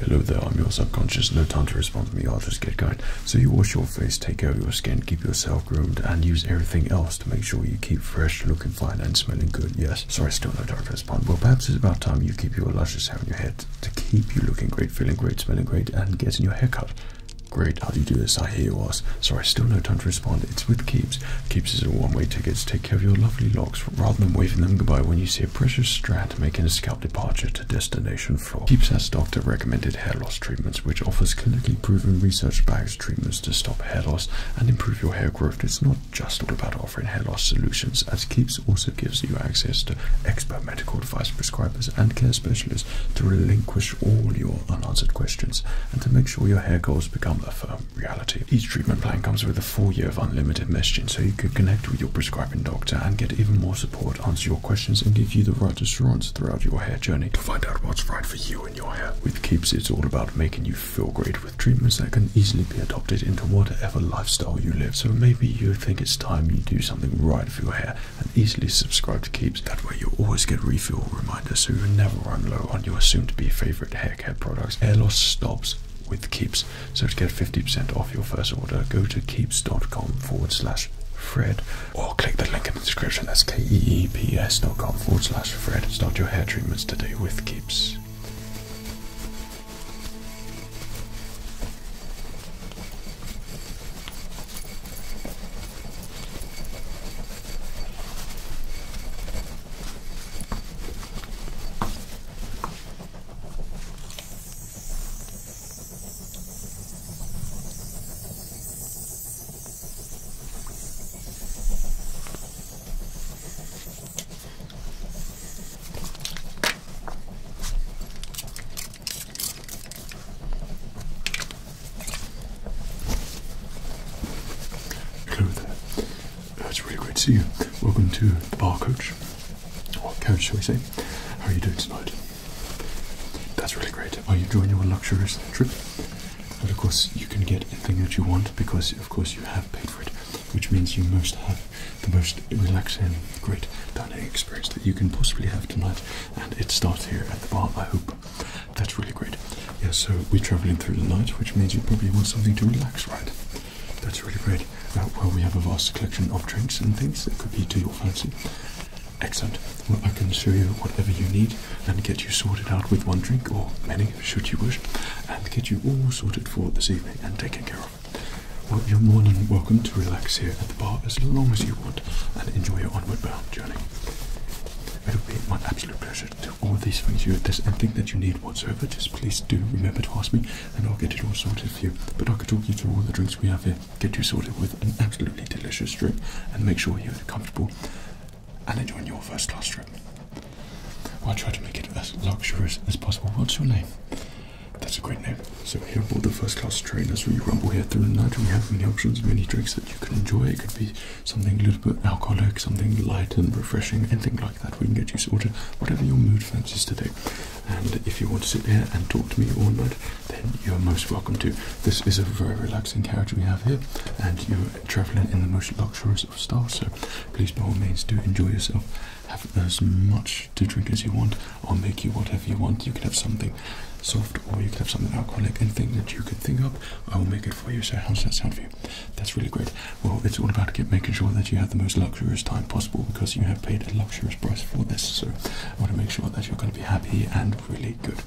Hello there, I'm your subconscious. No time to respond to me, I'll just Get going. So you wash your face, take care of your skin, keep yourself groomed, and use everything else to make sure you keep fresh, looking fine, and smelling good. Yes. Sorry, still no time to respond. Well, perhaps it's about time you keep your luscious hair on your head to keep you looking great, feeling great, smelling great, and getting your hair cut. Great, how do you do this? I hear you ask. Sorry, still no time to respond. It's with Keeps. Keeps is a one-way ticket to take care of your lovely locks rather than waving them goodbye when you see a precious strand making a scalp departure to destination floor. Keeps has doctor recommended hair loss treatments, which offers clinically proven research-backed treatments to stop hair loss and improve your hair growth. It's not just all about offering hair loss solutions, as Keeps also gives you access to expert medical advice prescribers and care specialists to relinquish all your unanswered questions and to make sure your hair goals become a firm reality. Each treatment plan comes with a 4 year of unlimited messaging, so you can connect with your prescriber doctor and get even more support, answer your questions, and give you the right assurance throughout your hair journey to find out what's right for you and your hair. With Keeps, it's all about making you feel great with treatments that can easily be adopted into whatever lifestyle you live. So maybe you think it's time you do something right for your hair and easily subscribe to Keeps. That way, you'll always get refill reminders so you never run low on your soon to be favorite hair care products. Hair loss stops with Keeps. So to get 50% off your first order, go to keeps.com forward slash Fred or click the link in the description. That's dot com forward slash Fred. Start your hair treatments today with Keeps. Hello there. It's really great to see you. Welcome to the bar coach or couch, shall we say. How are you doing tonight? That's really great. Are you enjoying your luxurious trip? But of course, you can get anything that you want because, of course, you have paid for it, which means you must have the most relaxing, great dining experience that you can possibly have tonight. And it starts here at the bar, I hope. That's really great. Yeah, so we're traveling through the night, which means you probably want something to relax, right? That's really great. Uh, well, we have a vast collection of drinks and things that could be to your fancy. Excellent. Well, I can show you whatever you need and get you sorted out with one drink or many, should you wish, and get you all sorted for this evening and taken care of. Well, you're more than welcome to relax here at the bar as long as you want and enjoy your onward bound journey. It'll be my absolute pleasure to do all these things you. If there's anything that you need whatsoever, just please do remember to ask me and I'll get it all sorted for you. But I could talk you through all the drinks we have here, get you sorted with an absolutely delicious drink, and make sure you're comfortable and enjoying your first class trip. I'll try to make it as luxurious as possible. What's your name? That's a great name. So here aboard the first class train, as we rumble here through the night, we have many options, many drinks that you can enjoy. It could be something a little bit alcoholic, something light and refreshing, anything like that. We can get you sorted, whatever your mood fancies today. And if you want to sit here and talk to me all night, then you're most welcome to. This is a very relaxing carriage we have here, and you're traveling in the most luxurious of style. So please, by all means, do enjoy yourself. Have as much to drink as you want. I'll make you whatever you want. You can have something soft or you can have something alcoholic. Anything that you can think of, I will make it for you. So, how does that sound for you? That's really great. Well, it's all about making sure that you have the most luxurious time possible because you have paid a luxury ridiculous price for this. So I want to make sure that you're going to be happy and really good.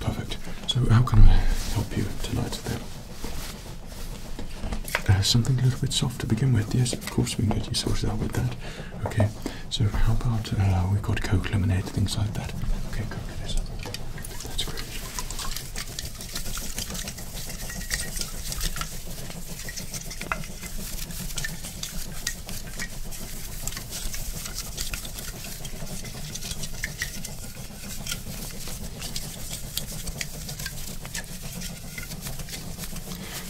Perfect. So how can I help you tonight then? Uh, something a little bit soft to begin with. Yes, of course we can get you sorted out with that. Okay. So how about uh, we've got Coke lemonade, things like that. Okay, Coke lemonade. That's great.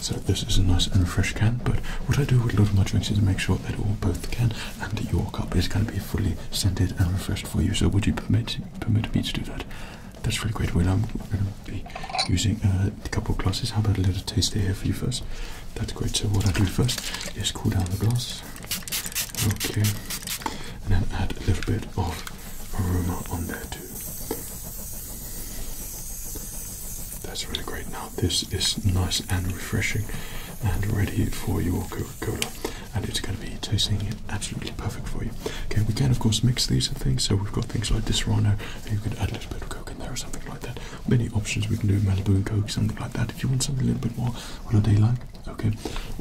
So this is a nice and fresh can, but what I do with a lot of my drinks is to make sure that all both the can and your cup is going to be fully scented and refreshed for you. So would you permit permit me to do that? That's really great. Well, i be using uh, a couple of glasses. How about a little taste there for you first? That's great. So what I do first is cool down the glass. Okay. And then add a little bit of aroma on there too. That's really great. Now this is nice and refreshing and ready for your Coca-Cola. And it's going to be tasting absolutely perfect for you. Okay, we can of course mix these things. So we've got things like this right now. And you can add a little bit of or something like that. Many options we can do Malibu Coke, something like that. If you want something a little bit more holiday like, okay,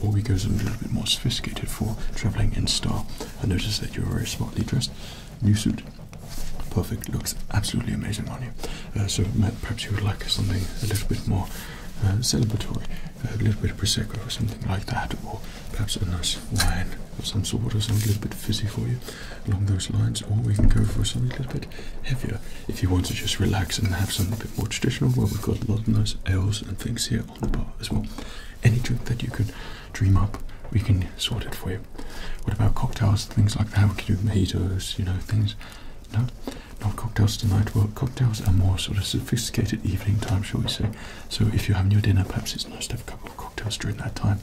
or we go something a little bit more sophisticated for traveling in style. I noticed that you're very smartly dressed. New suit, perfect, looks absolutely amazing on you. Uh, so perhaps you would like something a little bit more uh, celebratory, a little bit of Prosecco or something like that, or perhaps a nice wine some sort or something a little bit fizzy for you along those lines, or we can go for something a little bit heavier if you want to just relax and have something a bit more traditional. Well, we've got a lot of nice ales and things here on the bar as well. Any drink that you could dream up, we can sort it for you. What about cocktails, things like that? We can do mojitos, you know, things. No, not cocktails tonight. Well, cocktails are more sort of sophisticated evening time, shall we say. So if you're having your dinner, perhaps it's nice to have a couple of cocktails during that time.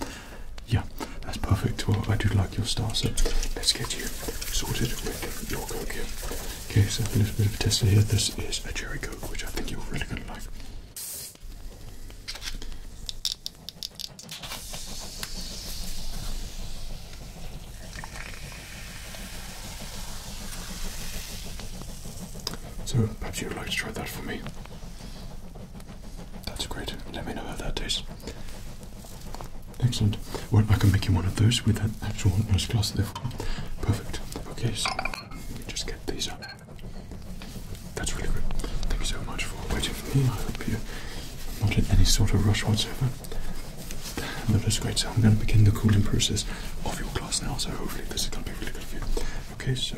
Yeah, that's perfect. Well, I do like your star, so let's get you sorted with your Coke here. Okay, so a little bit of a tester here. This is a jerry coat, which I think you're really going to like. So perhaps you'd like to try that for me. That's great. Let me know how that tastes. Excellent. Well, I can make you one of those with an actual nose glass, therefore. Perfect. Okay, so let me just get these up. That's really good. Thank you so much for waiting for me. I hope you're not in any sort of rush whatsoever. No, that's great. So I'm going to begin the cooling process of your glass now, so hopefully this is going to be really good for you. Okay, so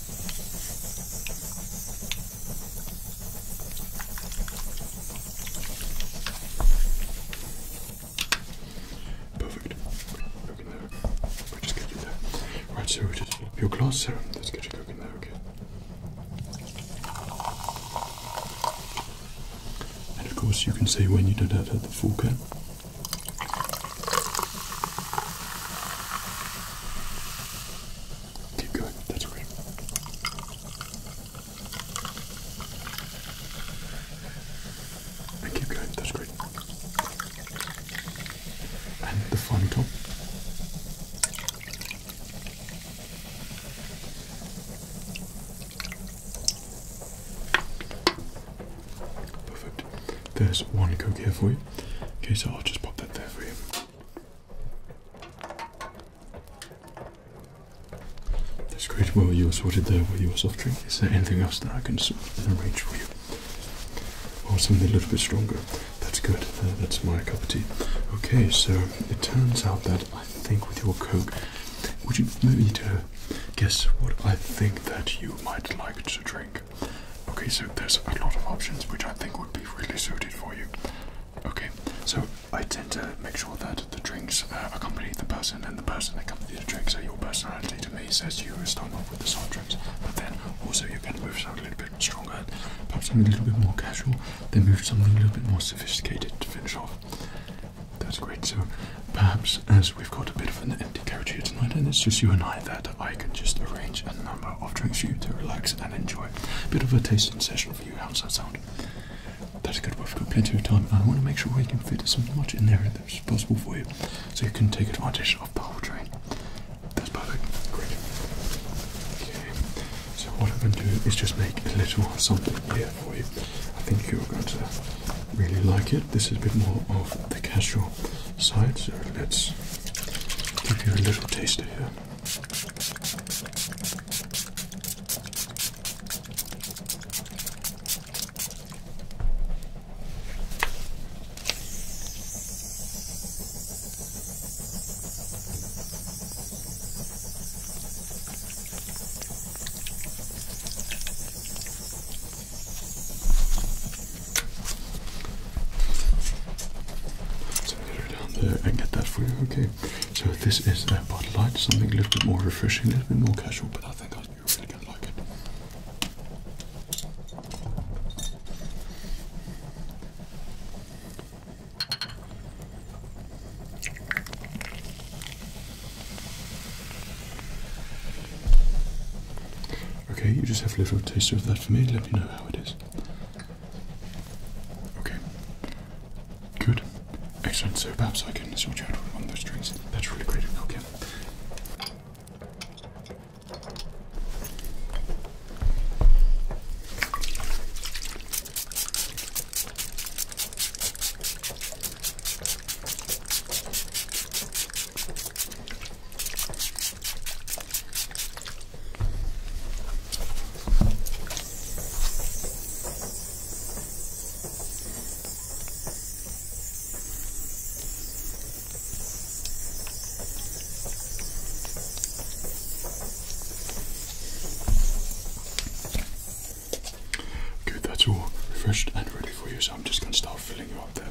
Perfect. Right, so just your glass serum. Let's get you cooking there, okay? And of course, you can see when you do that at the full cap. Keep going, that's okay. And keep going, that's great. And the final top. Perfect. There's one coke here for you. Okay, so I'll just pop that there for you. That's great. Well, you were sorted there with your soft drink. Is there anything else that I can arrange for you? Or something a little bit stronger? That's good. Uh, that's my cup of tea. Okay, so it turns out that I think with your coke, would you maybe to guess what I think that you might like to drink? Okay, so there's a lot of options which I think would be really suited for you. Okay, so I tend to make sure that the drinks uh, accompany the person and the person accompanies the drinks. So your personality to me says you start off with the soft drinks, but then also you can move something a little bit stronger, perhaps something a little bit more casual, then move something a little bit more sophisticated to finish off. That's great. So perhaps as we've got a bit of an empty carriage here tonight, and it's just you and I that I can just arrange a number of drinks for you to relax and enjoy. a Bit of a tasting session for you. How's that sound? That's good. We've got plenty of time, I want to make sure we can fit as much in there as possible for you, so you can take advantage of the whole train. That's perfect. Great. Okay. So what I'm going to do is just make a little something here for you. I think you're going to really like it. This is a bit more of the casual side, so let's Give you a little taste of it. So get her down there and get that for you. Okay. So this is a bottle Light, something a little bit more refreshing, a little bit more casual, but I think I you really gonna like it. Okay, you just have a little taste of that for me, let me know how it is. Okay. Good. Excellent. So perhaps I can switch out one of those drinks. That's really great. Okay. Good, that's all refreshed and ready for you, so I'm just going to start filling you up there.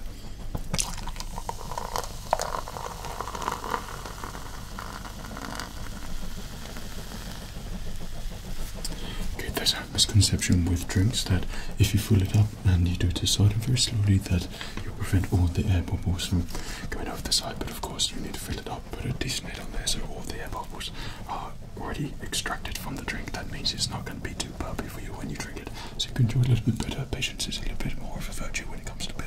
Okay, there's a misconception with drinks that if you fill it up and you do it aside very slowly that you prevent all the air bubbles from coming off the side, but of course you need to fill it up, put a decent head on there so all the air bubbles are already extracted from the drink. That means it's not going to be too bubbly for you when you drink it so you can do a little bit better. Patience is a little bit more of a virtue when it comes to beer.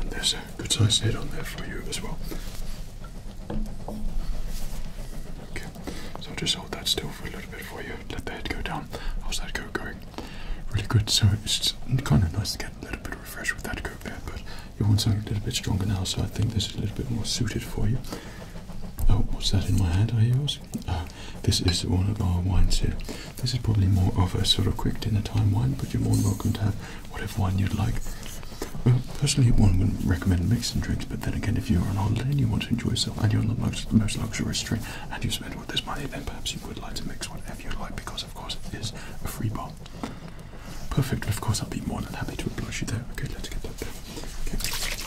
And there's a good sized head on there for you as well. Okay. So just hold that still for a little bit for you. Let the head go down. How's that coat going? Really good. So it's kind of nice to get a little bit of refreshed with that coat there, but you want something a little bit stronger now. So I think this is a little bit more suited for you. Oh, what's that in my hand? Are yours? Uh, this is one of our wines here. This is probably more of a sort of quick dinner time wine, but you're more than welcome to have whatever wine you'd like. Well, personally, one wouldn't recommend mixing drinks but then again, if you're on holiday and you want to enjoy yourself and you're on the most, most luxurious train and you spend all this money, then perhaps you would like to mix whatever you like because, of course, it is a free bar. Perfect, of course, I'll be more than happy to oblige you there. Okay, let's get that there. Okay.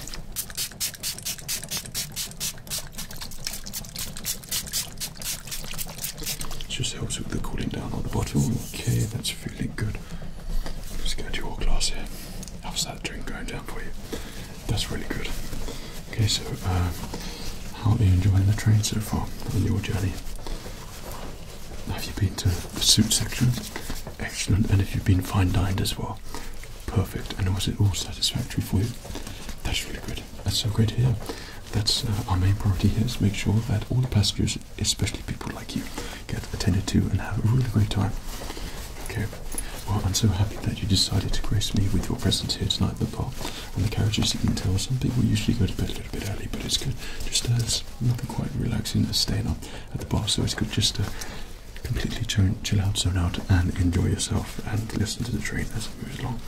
Just helps with the cooling down on the bottom. Okay, that's feeling good. Let's go to your glass here. How's that drink going down for you? That's really good. Okay, so uh, how are you enjoying the train so far on your journey? Have you been to the suit section? Excellent. And if you've been fine dined as well, perfect. And was it all satisfactory for you? That's really good. That's so great to hear. That's uh, our main priority here is to make sure that all the passengers, especially people like you, get attended to and have a really great time. Okay. Well, I'm so happy that you decided to grace me with your presence here tonight, the and the carriages. You can tell some people usually go to bed a little bit early, but it's good. Just uh, there's nothing quite relaxing as staying up at the bar, so it's good just to completely chill out, zone out, and enjoy yourself and listen to the train as it moves along.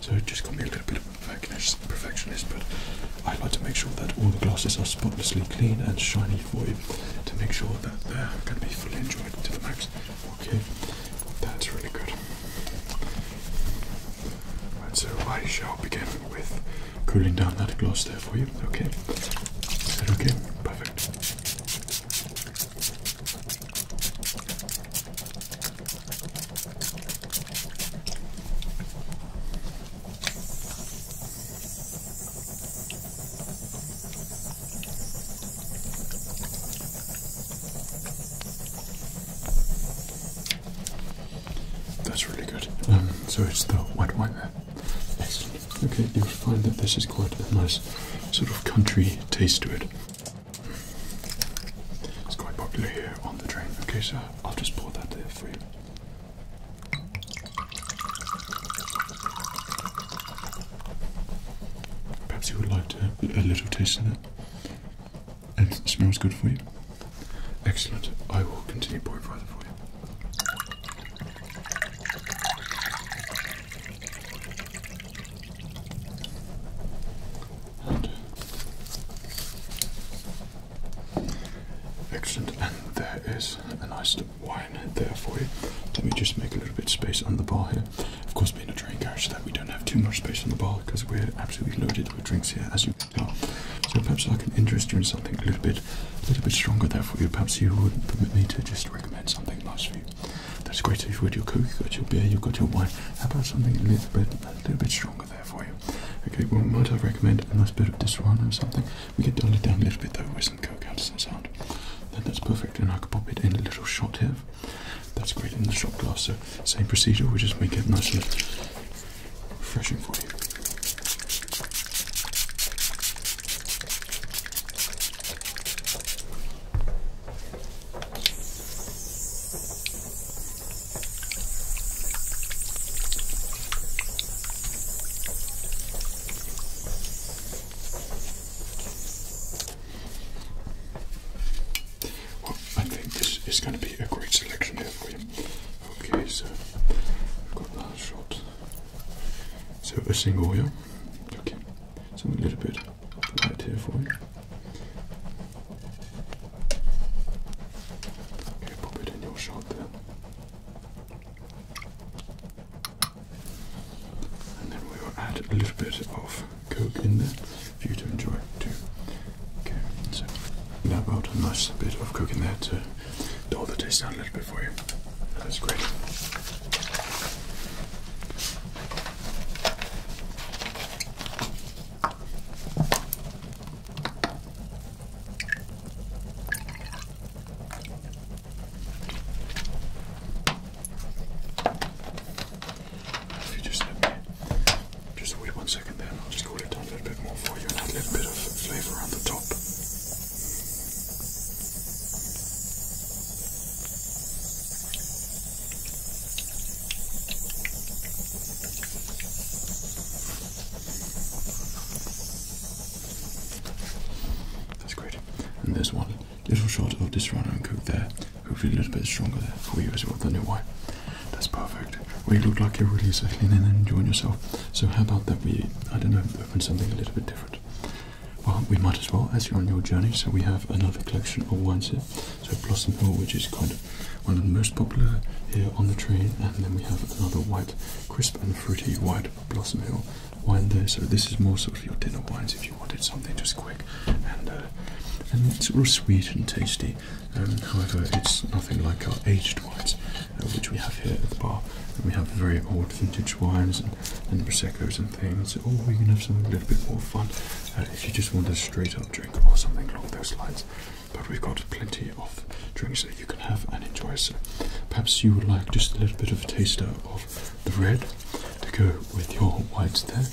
So it just got me a little bit of a perfectionist, but I like to make sure that all the glasses are spotlessly clean and shiny for you to make sure that they're going to be fully enjoyed to the max. Okay, that's really good. Right, so I shall begin with cooling down that gloss there for you. Okay, is that okay? Perfect. That's really good. Um, so it's the white wine there. Okay, you'll find that this is quite a nice sort of country taste to it. It's quite popular here on the train. Okay, so I'll just pour that there for you. Perhaps you would like a little taste of that. it smells good for you. Excellent. I will continue boiling further for you. Uh, excellent. And there is a nice Wine there for you. Let me just make a little bit of space on the bar here. Of course, being a train carriage, so that we don't have too much space on the bar because we're absolutely loaded with drinks here, as you can tell. So perhaps I can interest you in something a little bit, a little bit stronger there for you. Perhaps you would permit me to just recommend something nice for you. That's great. you've got your coke, you've got your beer, you've got your wine. How about something a little bit, a little bit stronger there for you? Okay. Well, might I recommend a nice bit of this Disaronno or something? We can dull it down a little bit though with some coke. How does that sound? then that's perfect. And I could pop it in a little shot here. That's great in the shot glass. So same procedure, we just make it nice and refreshing for you. Well, I think this is going to be a great selection here for you. Okay, so we've got that shot. So a single, here. Okay, so a little bit light here for you. Okay, pop it in your shot there. And then we will add a little bit of Coke in there for you to enjoy too. Okay, so now about a nice bit of Coke in there to dull the taste down a little bit for you. That's great just wait one second there, I'll just cool it down a little bit more for you and add a little bit of flavour around the top. That's great. And there's one Little shot of this runner and coke there. Hopefully a little bit stronger there for you as well than it why. That's perfect. Well, you look like you're really settling in and enjoying yourself. So how about that we, I don't know, open something a little bit different. Well, we might as well, as you're on your journey. So we have another collection of wines here. So Blossom Hill, which is kind of one of the most popular here on the train. And then we have another white, crisp and fruity white Blossom Hill wine there. So this is more sort of your dinner wines if you wanted something just quick and uh, and it's all sweet and tasty. Um, however, it's nothing like our aged wines, uh, which we have here at the bar. we have very old vintage wines and, and proseccos and things. Or oh, we can have something a little bit more fun uh, if you just want a straight up drink or something along those lines. But we've got plenty of drinks that you can have and enjoy. So perhaps you would like just a little bit of a taster. Of the red to go with your whites there.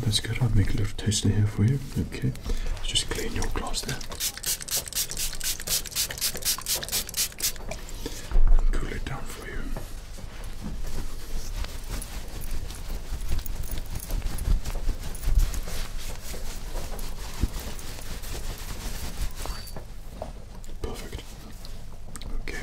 that's good. I'll make a little taster here for you. Okay, Let's just clean your glass there. And cool it down for you. Perfect. Okay.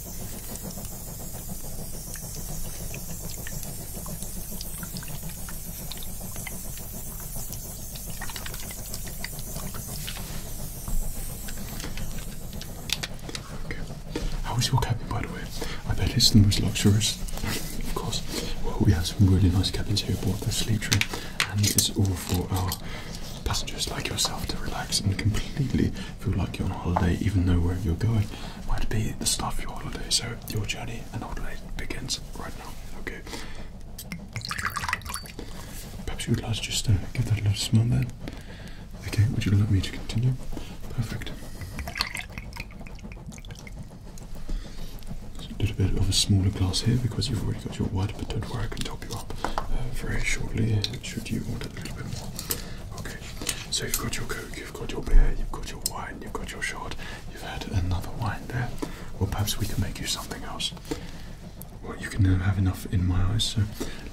Okay. How was your cabin, by the way? I bet it's the most luxurious, of course. we have some really nice cabins here aboard the sleep room and it's all for our passengers like yourself to relax and completely feel like you're on holiday, even though where you're going might be the start of your holiday. So your journey and holiday begins right now. Okay. Perhaps you would like to just uh, give that a little smile there. Okay, would you like me to continue? Perfect. a little bit of a smaller glass here because you've already got your water, but don't worry, I can top you up uh, very shortly should you want a little bit more. Okay, so you've got your Coke you've got your beer, you've got your wine, you've got your shot, you've had another wine there. Well, perhaps we can make you something else. Well, you can have enough in my eyes, so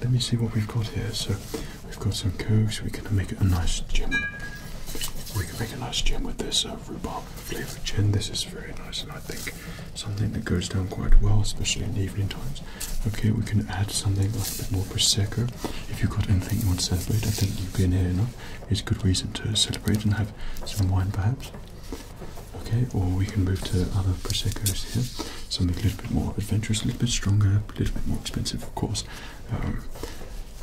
let me see what we've got here. So, we've got some cokes, we can make a nice gin. We can make a nice gin with this uh, rhubarb flavoured gin. This is very nice, and I think something that goes down quite well, especially in evening times. Okay, we can add something a bit more prosecco. If you've got anything you want to celebrate, I think you have been here enough It's a good reason to celebrate and have some wine, perhaps. Okay, or we can move to other proseccos here. Something a little bit more adventurous, a little bit stronger, a little bit more expensive, of course. Um,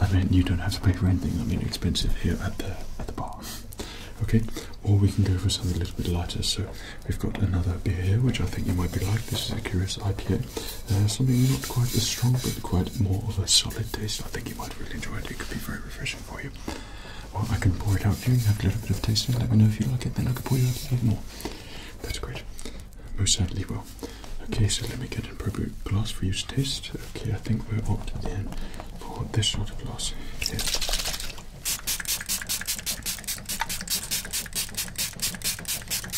I mean, you don't have to pay for anything. I mean, expensive here at the at the bar. Okay, or we can go for something a little bit lighter. So we've got another beer here, which I think you might be like. This is a Curious IPA. Uh, something not quite as strong, but quite more of a solid taste. I think you might really enjoy it. It could be very refreshing for you. Well, I can pour it out here. You have a little bit of tasting. Let me know if you like it. Then I can pour you out even more. That's great. Most certainly will. Okay, so let me get an appropriate glass for you to taste. Okay, I think we're opted in for this sort of glass here.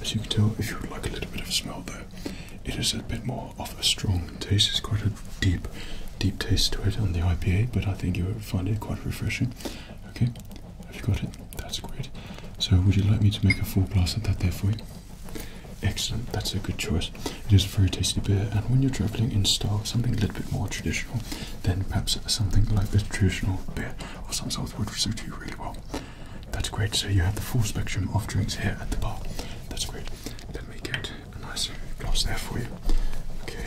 As you can tell, if you would like a little bit of smell though, it is a bit more of a strong taste. It's quite a deep, deep taste to it on the IPA, but I think you will find it quite refreshing. Okay, have you got it? That's great. So would you like me to make a full glass of that there for you? Excellent, that's a good choice. It is a very tasty beer and when you're travelling in style, something a little bit more traditional, then perhaps something like a traditional beer or something sort would suit you really well. That's great, so you have the full spectrum of drinks here at the bar. That's great. Let me get a nice glass there for you. Okay.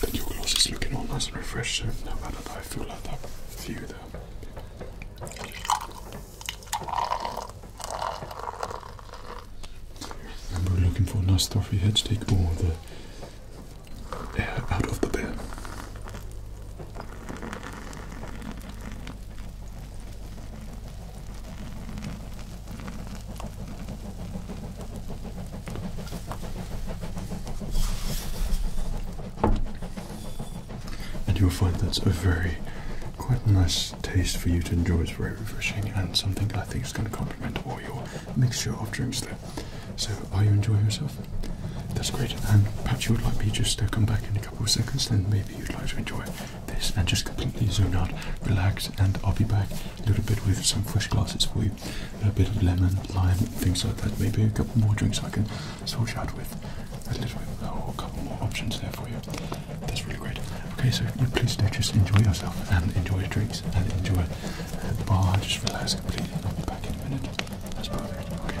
But your gloss is looking all nice and refreshed, no matter I feel like that for you and we're looking for a nice stuffy to take all the air out of the bear. And you'll find that's a very quite nice taste for you to enjoy. It's very refreshing and something I think is going to come or your mixture of drinks there. So, are you enjoying yourself? That's great. And perhaps you would like me just to come back in a couple of seconds, and maybe you'd like to enjoy this and just completely zone out, relax, and I'll be back a little bit with some fresh glasses for you. A bit of lemon, lime, things like that. Maybe a couple more drinks I can sort you out with. A little bit, a couple more options there for you. That's really great. Okay, so please do just enjoy yourself and enjoy your drinks and enjoy Oh, I just realized completely. I'll be back in a minute. That's perfect. Okay.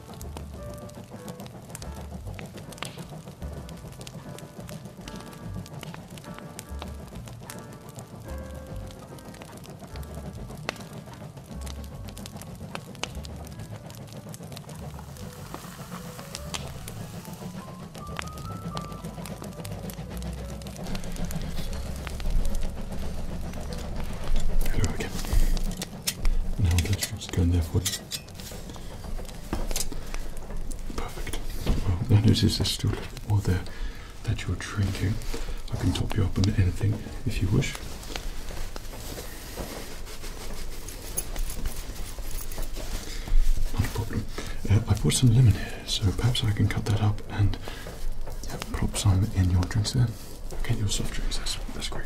There we go. Now let's just go in there for it. Perfect. Well, I noticed there's still a little bit more there that you're drinking. I can top you up on anything if you wish. Not a problem. Uh, I brought some lemon here, so perhaps I can cut that up and pop some in your drinks there. Get your soft drinks. that's great.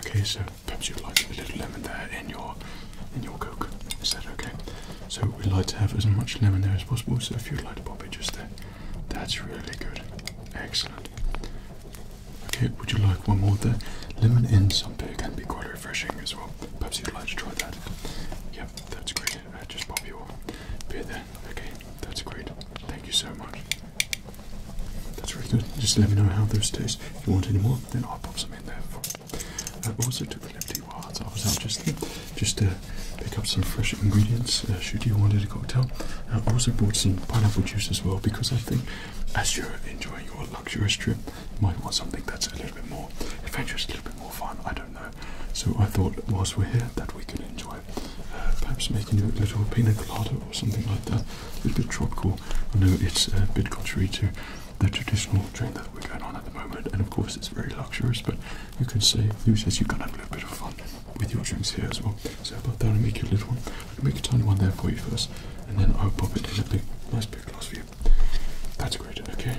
Okay, so perhaps you'd like a little lemon there in your in your coke. Is that okay? So we'd like to have as much lemon there as possible. So if you'd like to pop it just there, that's really good. Excellent. Okay, would you like one more there? Lemon in something beer can be quite refreshing as well. Perhaps you'd like to try that. Yep, that's great. Uh, just pop you beer there. Okay, that's great. Thank you so much. That's really good. Just let me know how those taste. If you want any more, then I'll pop some in there I uh, also took the liberty while I was out just just to pick up some fresh ingredients uh, should you want a cocktail. I also brought some pineapple juice as well because I think as you're enjoying your luxurious trip, you might want something that's a little bit more adventurous, a little bit more fun. I don't know. So I thought whilst we're here that we could enjoy uh, perhaps making you a little pina colada or something like that. A little bit tropical. I know it's uh, a bit contrary to the traditional drink that we're going on at the moment, and of course it's very luxurious, but you can say, who says you can have a little bit of fun with your drinks here as well. So about that, I'll make you a little one. I'll make a tiny one there for you first, and then I'll pop it in a big, nice big glass for you. That's great, okay?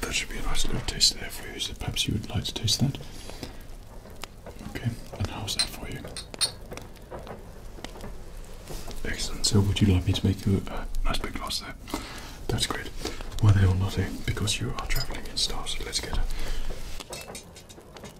That should be a nice little taste there for you, so perhaps you would like to taste that. Okay, and how's that for you? Excellent, so would you like me to make you a nice big glass there? That's great. Why they all not because you are travelling in stars, let's get her.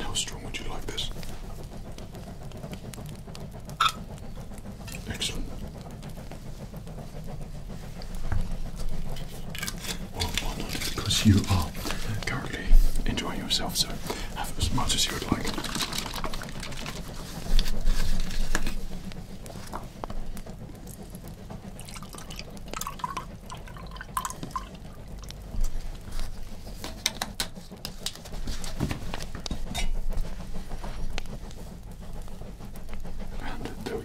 how strong would you like this? Excellent. Because you are currently enjoying yourself, so have as much as you would like. And uh, there we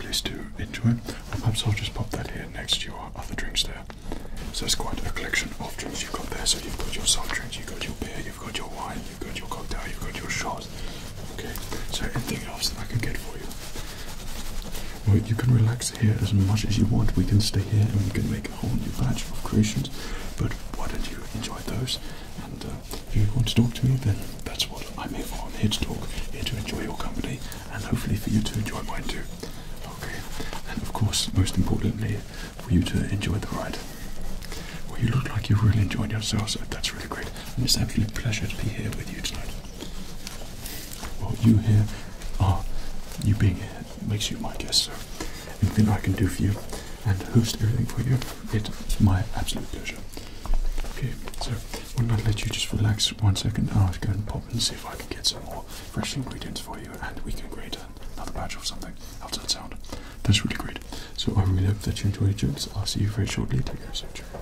Please do enjoy. perhaps I'll just pop that here next to your other drinks there. So it's quite a collection of drinks you've got there. So you've got your soft drinks, you've got your beer, you've got your wine, you've got your cocktail, you've got your shots. Okay, so anything else that I can get for you? Well, you can relax here as much as you want. We can stay here and we can make a whole new batch of creations. But why don't you enjoy those? And uh, if you want to talk to me, then that's what I'm here for. I'm here to talk, here to enjoy your company, and hopefully for you to enjoy mine too. Okay, and of course, most importantly, for you to enjoy the ride. Well, you look like you're really enjoyed yourself, so that's really great. And it's absolutely absolute pleasure to be here with you tonight. Well, you here are, you being here makes you my guest, so anything I can do for you and host everything for you, it's my absolute pleasure. Okay, so why not let you just relax one second I'll go and pop and see if I can get some more fresh ingredients for you and we can create a another batch of something outside sound. That's really great. So I um, really hope that you enjoyed jokes. I'll see you very shortly. Take care, so ciao.